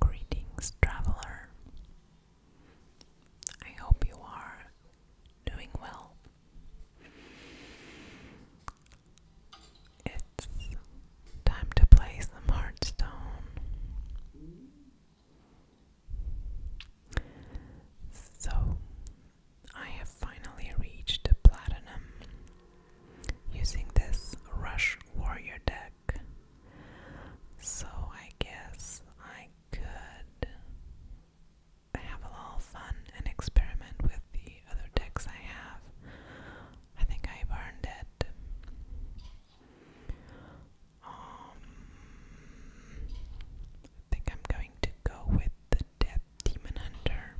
Greetings, traveler. I hope you are doing well. It's time to play some Hearthstone. So, I have finally reached platinum using this Rush Warrior deck. So, I guess I could have a little fun and experiment with the other decks I have. I think I've earned it. Um, I think I'm going to go with the Death Demon Hunter.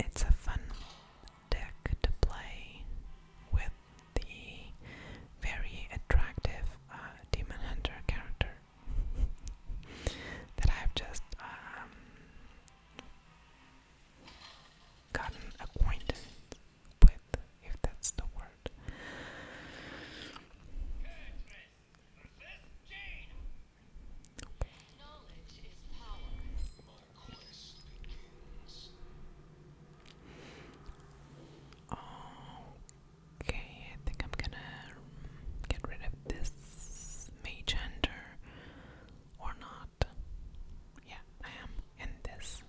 It's a fun deck to play with the very attractive uh, Demon Hunter character that I've just um, gotten acquainted with, if that's the word. Okay, I think I'm gonna get rid of this mage hunter or not. Yeah, I am. And this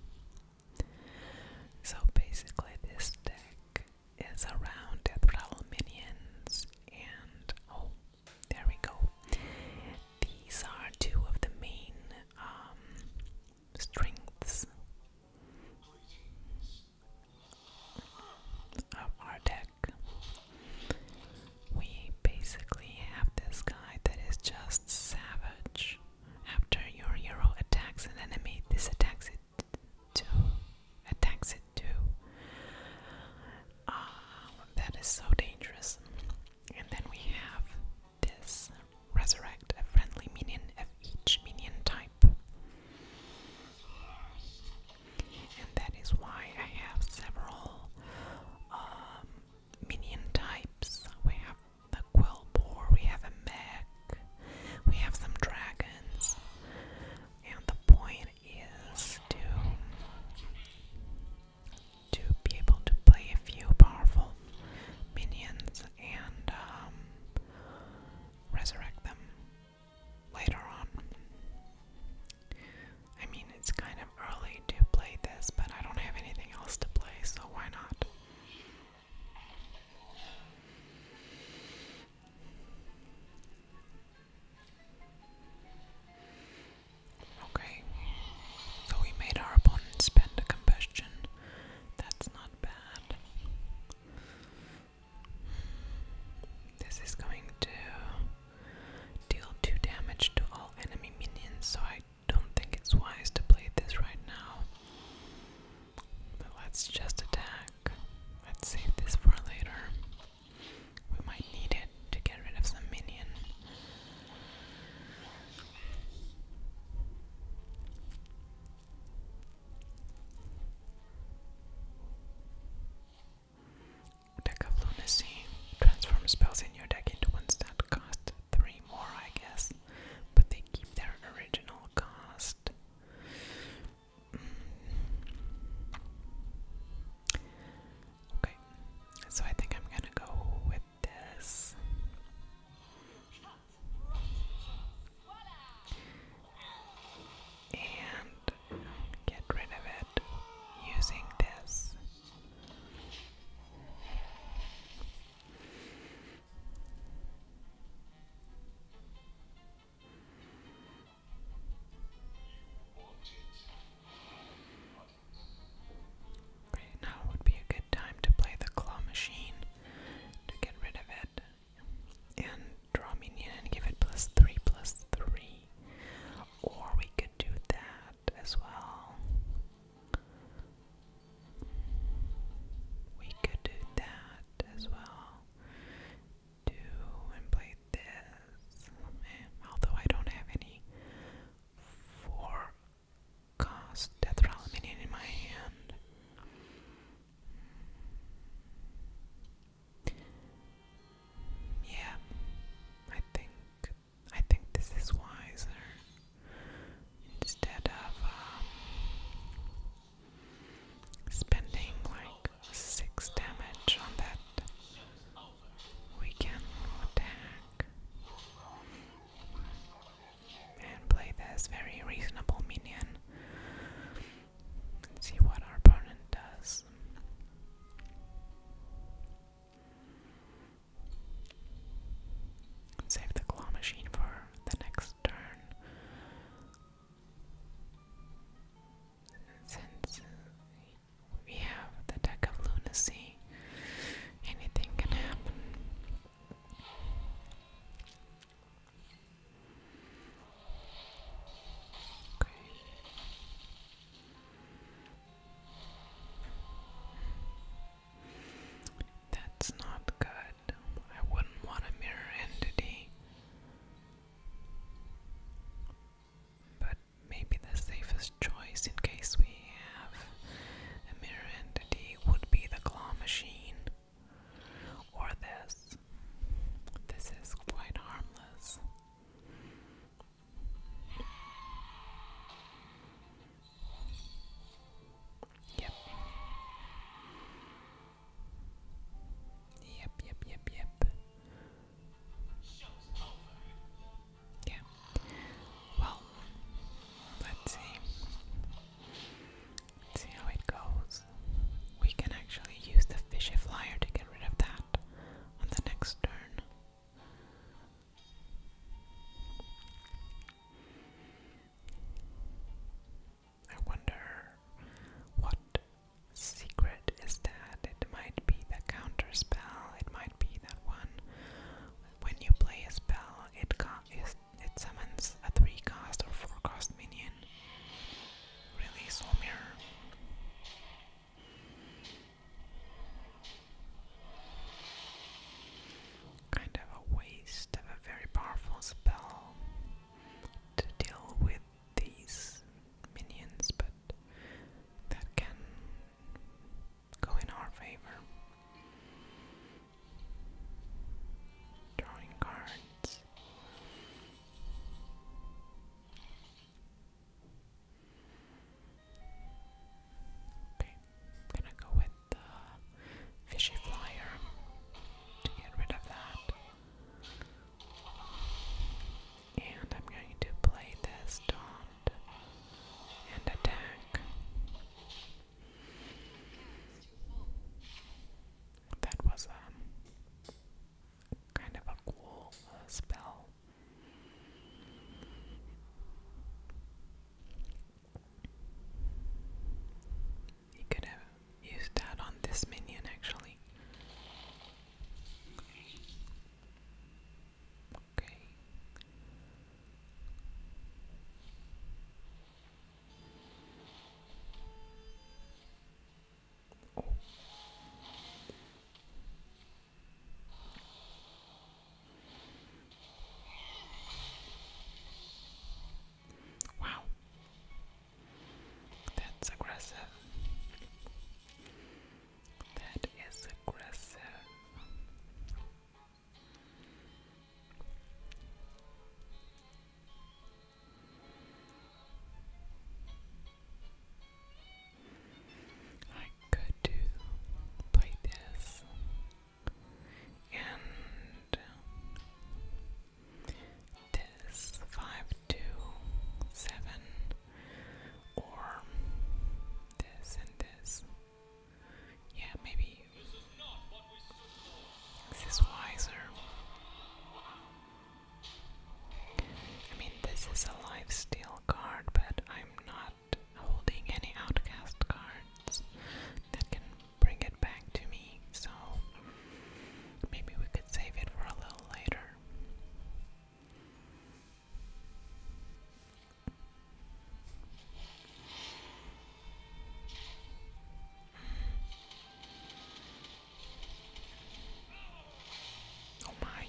so basically, this deck is around death rattle minions, and oh, there we go. These are two of the main um, strengths of our deck. We basically have this guy that is just savage. After your hero attacks an enemy, this attacks it too. Attacks it too. Ah, that is so dangerous. And then we have this resurrect a friendly minion of each minion type. And that is why I have several um, minion types. We have the quill bore, we have a mech, we have some dragons, and the point is to to be able to play a few powerful minions and um, resurrect them later on. I mean, it's kind of early to play this, but I don't have anything else to play, so why not? Okay, so we made our opponent spend a combustion. That's not bad. This is going to deal 2 damage to all enemy minions, so I don't think it's wise to play this right now. But let's just attack. Let's save this for later. We might need it to get rid of some minion. Deck of Lunacy. Transform spells in your deck into one stat cost three more, I guess, but they keep their original cost. Mm. Okay, so I think I'm gonna go with this. And get rid of it using this. Okay, now would be a good time to play the claw machine to get rid of it. And draw minion give it plus three plus three. Or we could do that as well. We could do that as well. Do and play this. Although I don't have any four cost death minion in my hand. Yeah, I think I think this is wiser instead of um, spending like six damage on that weekend attack and play this very reasonable minion see what our opponent does. Save the claw machine for the next turn. Since we have the deck of lunacy, anything can happen. That's not good. I wouldn't want a mirror entity. But maybe the safest choice in case we have a mirror entity would be the claw machine. Or this. This is quite harmless. Yep. Yep, yep, yep, yep. Yeah. Well, let's see. Let's see how it goes. We can actually use the fishy flyer to get rid of that on the next turn. I wonder what secret is that? It might be the counter spell, it might be that one. When you play a spell, it, it summons a 3 cast or 4 cast minion. Really, Soulmere? Kind of a waste of a very powerful spell to deal with these minions, but that can go in our favor. Drawing cards. Okay, gonna go with the fishy flyer to get rid of that. And I'm going to play this taunt and attack. That was um, kind of a cool uh, spell. You could have used that on this minion actually. Okay. Oh. Wow. That's aggressive. That is aggressive. I could do play this and this five two seven or this and this. Yeah, maybe this is wiser. I mean, this is a life steal card, but I'm not holding any outcast cards that can bring it back to me, so maybe we could save it for a little later. Oh my.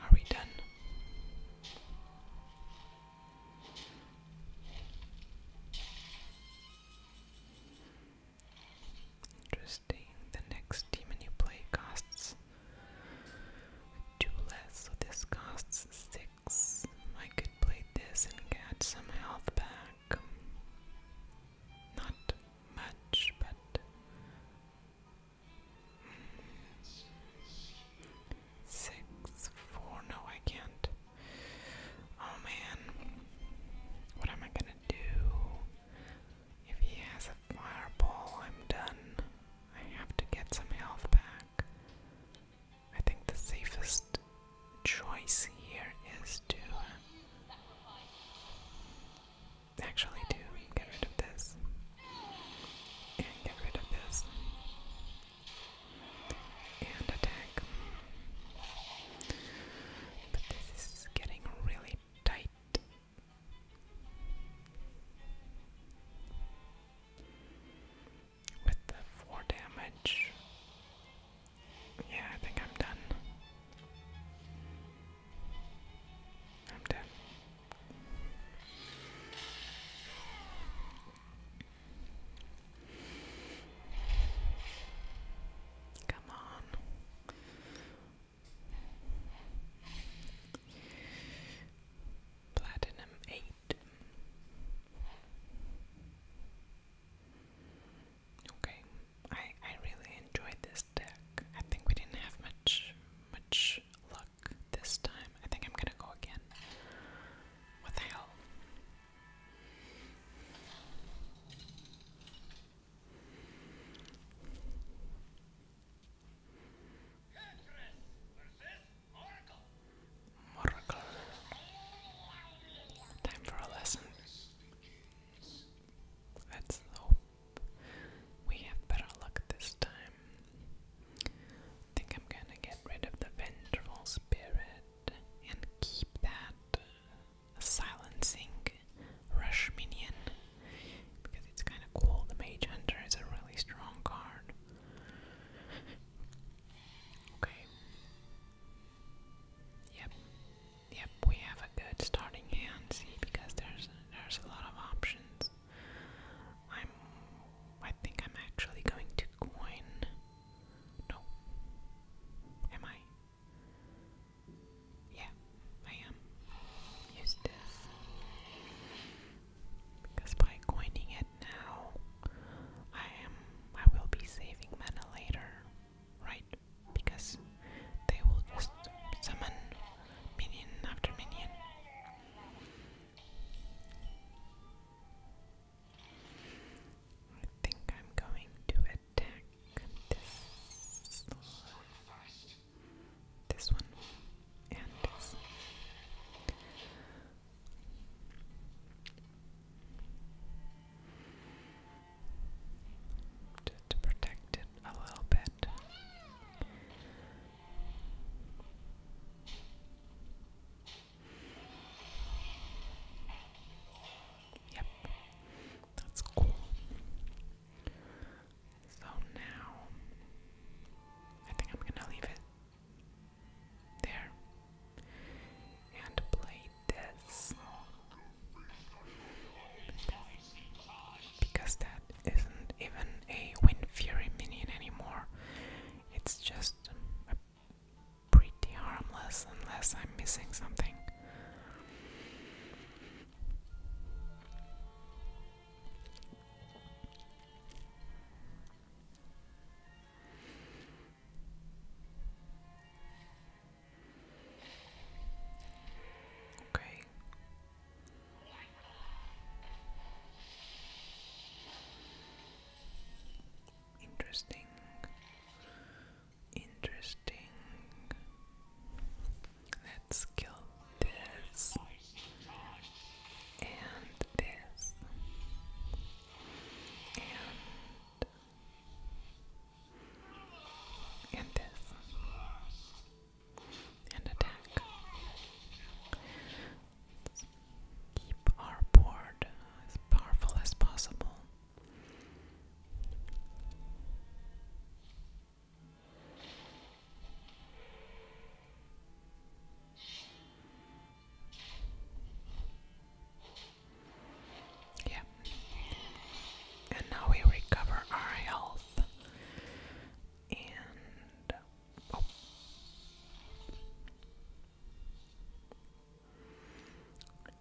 Are we done? Interesting. The next demon you play costs two less, so this costs six. I could play this and get some health back. Not much, but Six, four, no, I can't. Oh man, what am I gonna do? If he has a fireball, I'm done. I have to get some health back. I think the safest choice here is to uh, actually to get rid of this and get rid of this and attack. But this is getting really tight. With the four damage, yeah, I think I'm done. I'm done. Come on. Platinum eight. Okay, I I really enjoyed this deck. I think we didn't have much much much this time. I think I'm gonna go again. What the hell? Moracle. Time for a lesson. Let's hope we have better luck this time. I think I'm gonna get rid of the vengeful spirit and keep that uh, silencing rush minion because it's kind of cool. The Mage Hunter is a really strong card. okay. Yep. Yep, we have a good starting hand, see, because there's there's a lot of options. I'm I think I'm actually going to coin No. Am I? Yeah, I am. Because by coining it now I am I will be saving mana later, right? Because they will just summon minion after minion. I think I'm going to attack this one and this. Just to protect it a little bit. Yep, that's cool. So now, I think I'm gonna leave it there and play this because that isn't even a Wind Fury minion anymore. It's just um, pretty harmless unless I'm missing something. Okay, Interesting. Interesting. Let's kill this and this and and this and attack. keep our board as powerful as possible. Yeah. And now we recover our health and oh.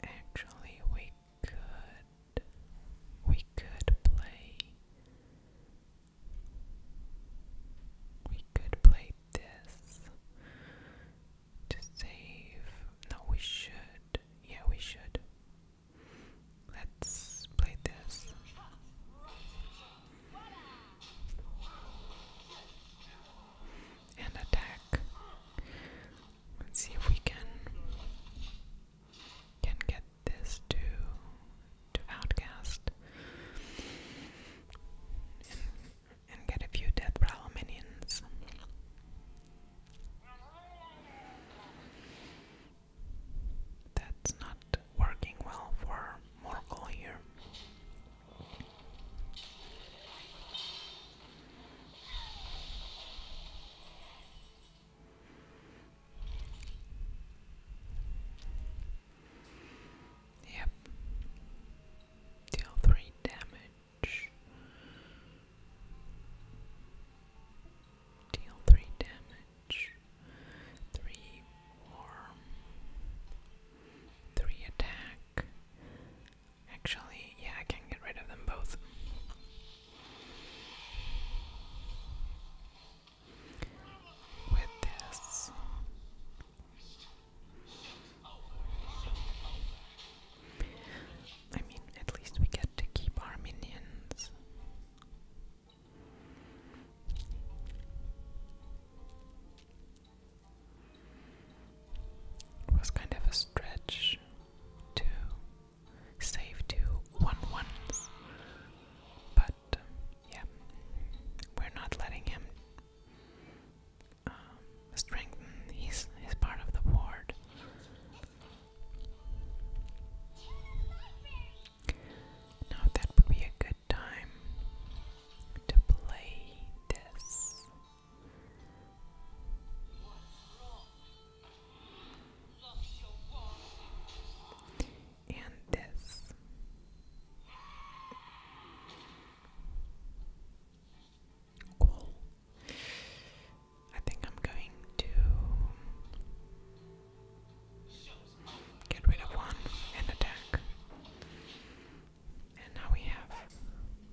Actually, we could we could play we could play this to save. No, we should. Yeah, we should. Let's play this. And attack. Let's see if we can can get this to to outcast and, get a few death prowl minions. That's not working well for Morgul here. Yep. Deal three damage. Deal three damage damage, attack. Actually, yeah, I can get rid of them both. With this. I mean, at least we get to keep our minions. It was kind of a stretch to save two one ones, but um, yeah, we're not letting him um, strengthen his his part of the board. Now that would be a good time to play this. And this. Cool. I think I'm going to Get rid of one and attack. And now we have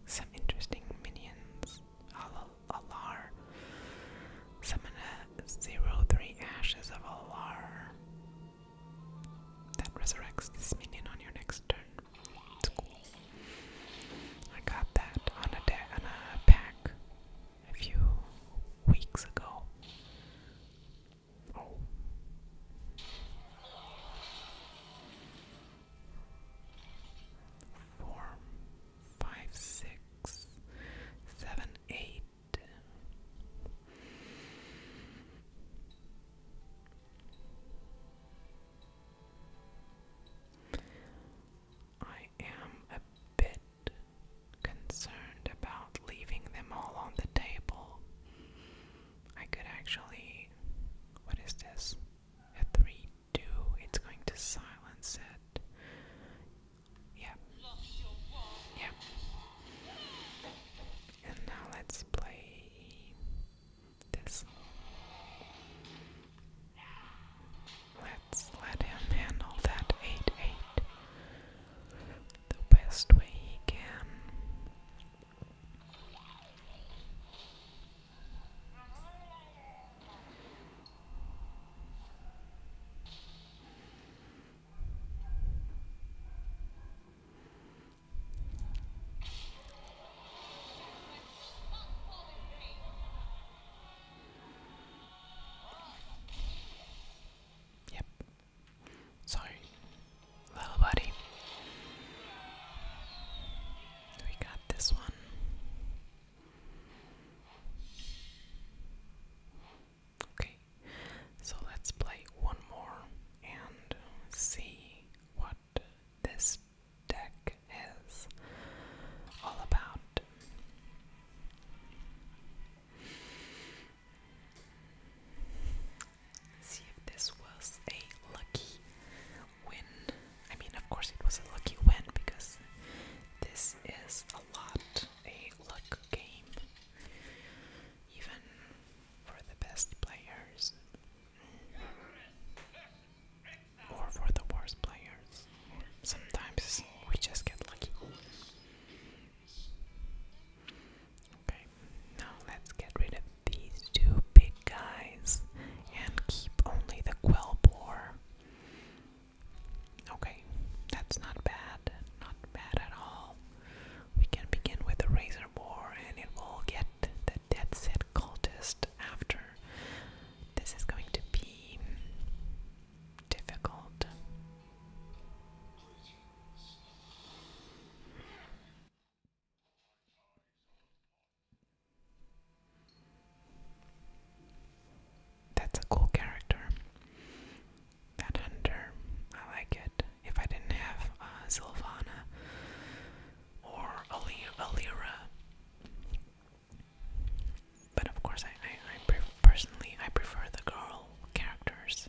some interesting minions. Al Summon a 03 Ashes of Alar. That resurrects this minion on your next turn. It's cool. I got that on a pack a few weeks ago. Four, five, six, seven, eight. I am a bit concerned about leaving them all on the table. I could actually. What is this? A 3 2. It's going to silence it. Yep. Yep. And now let's play this let him handle that 8 8 the best way he can. Yep. Sorry, little buddy. We got this one. Okay, so let's play one more and see what this deck is all about. See if this was a lucky win. I mean, of course, it was a lucky win because this is a lot a luck game, even for the best players or for the worst players sometimes, we just get lucky. Okay, now let's get rid of these two big guys and keep only the quell bore. Okay, that's not bad, not bad at all. We can begin with the razor bore and it will get the dead set cultist after. This is going to be difficult. That's a cool character. That hunter, I like it. If I didn't have uh, Sylvana or Alira, but of course, I, personally I prefer the girl characters.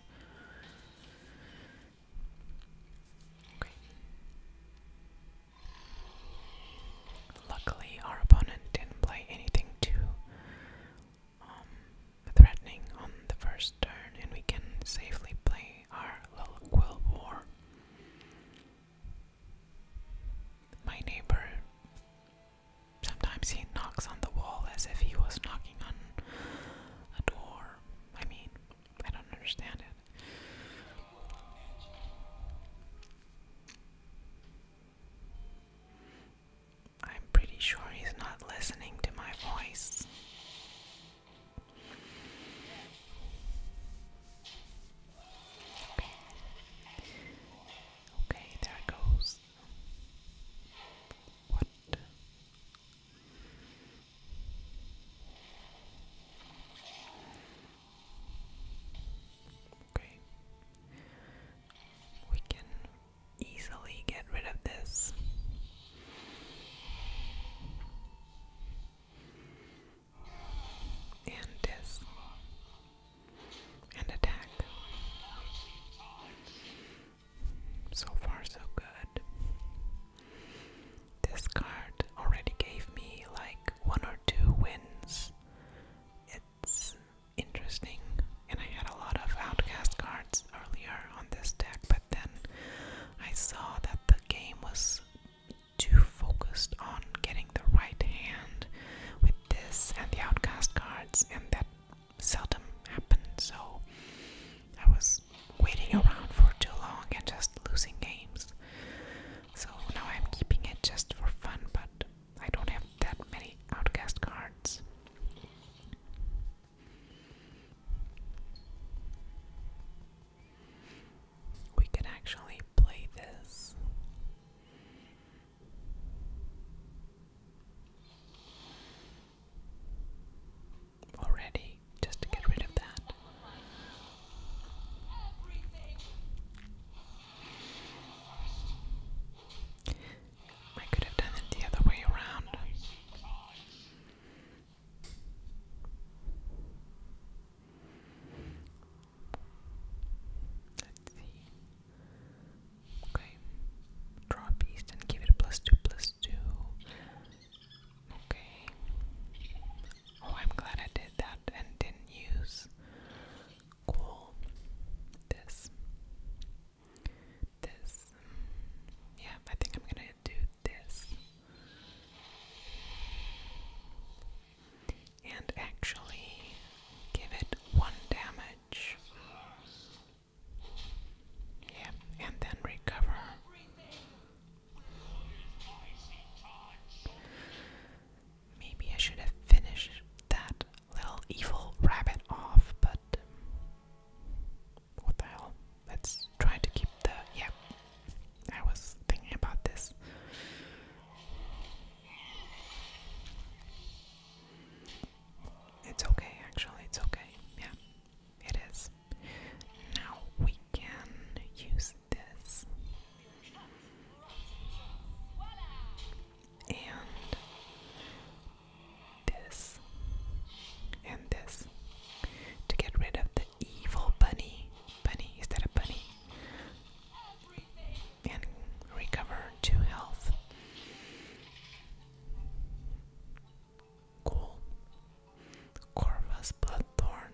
Luckily, our opponent didn't play anything too um, threatening on the first turn, and we can safely play our little quill war. My neighbor Sometimes he knocks on the wall as if he was knocking on a door. I mean, I don't understand it. I'm pretty sure he's not listening to my voice. Okay. Okay, there it goes. What? Okay. We can easily get rid of this. And this and attack. So far, so good. This card already gave me like one or two wins. It's interesting, and I had a lot of outcast cards earlier on this deck, but then I saw that the game was too focused on getting the right hand this and the outcast cards, and that seldom happens. So I was waiting around for too long and just losing games. So now I'm keeping it just for fun, but I don't have that many outcast cards. We can actually play this already just to get rid of that. I could have done it the other way around. Let's see. Okay. Draw a piece and give it a plus two plus two. Okay. Oh, I'm glad I did that and didn't use cool this. This. Yeah, I think I'm gonna do this and actually give it one damage. Yeah, and then recover. Maybe I should have finished that little evil rabbit off, but what the hell? Let's try to keep the. Yeah, I was thinking about this. It's okay, actually, it's okay. Yeah, it is. Now we can use this. And this. And this. To get rid of the evil bunny. Bunny, is that a bunny? and recover to health. Cool. Corvus Bloodthorn.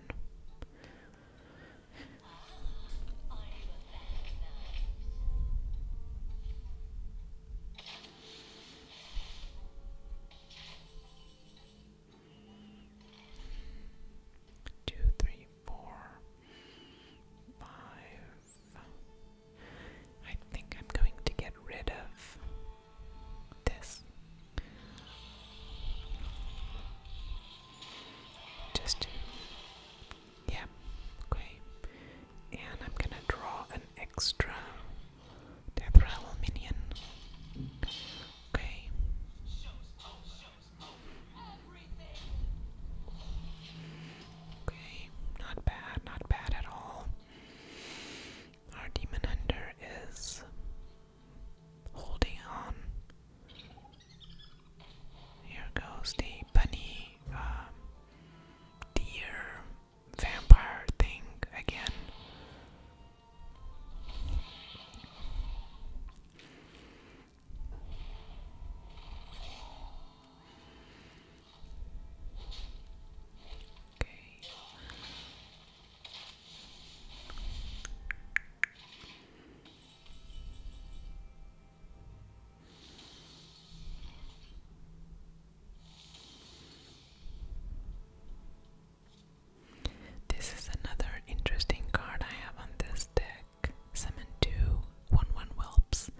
Two, three, four, five. I think I'm going to get rid of this. Just, yeah, okay. And I'm gonna draw an extra Death Rattle minion. Okay. Okay, not bad, not bad at all. Our demon hunter is holding on. Here goes the bunny, um, deer, vampire thing again. This is another interesting card I have on this deck attack. Summon two 1 1 whelps.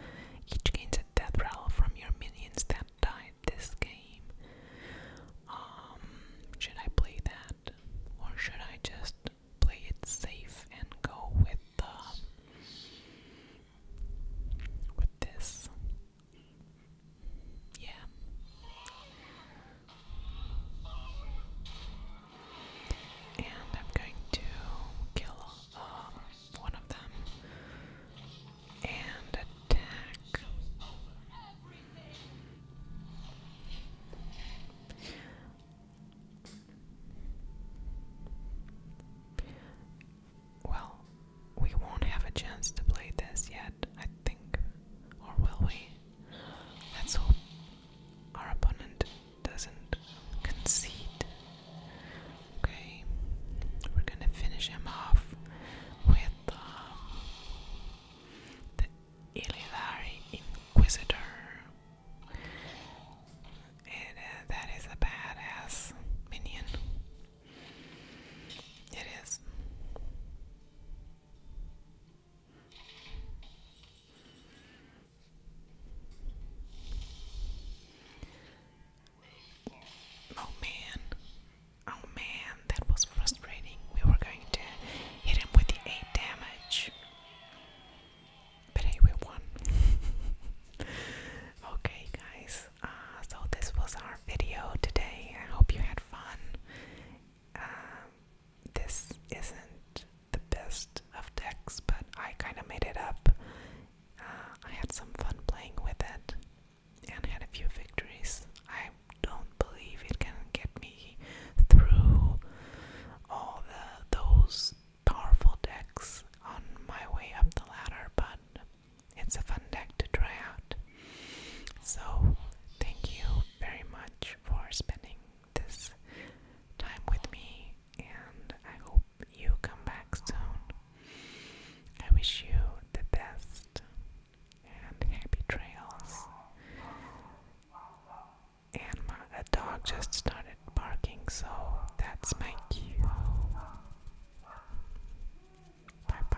Each gains a death rattle from your minions that died this game. Um, should I play that? Or should I just play it safe and go with the. Um, with this? Yeah. And I'm going to kill um, one of them and attack. Well, we won't have a chance to play this yet, I think. Or will we? Let's hope our opponent doesn't concede. Okay, we're gonna finish him off with um, the Illidari Inquisitor. Uh, that is a badass minion. It is. Oh man, oh man, that was frustrating. We were going to hit him with the 8 damage. But hey, we won. okay, guys, uh, so this was our video today. I hope you had fun. Um, this isn't the best of decks, but I kind of made it up. Uh, I had some fun playing with it and had a few victories. I don't believe it can get me through all the those powerful decks on my way up the ladder, but it's a fun deck to try out. So, thank you very much for spending this time with me, and I hope you come back soon. I wish you the best and happy trails. And my, dog just started barking, so that's my cue. Bye bye.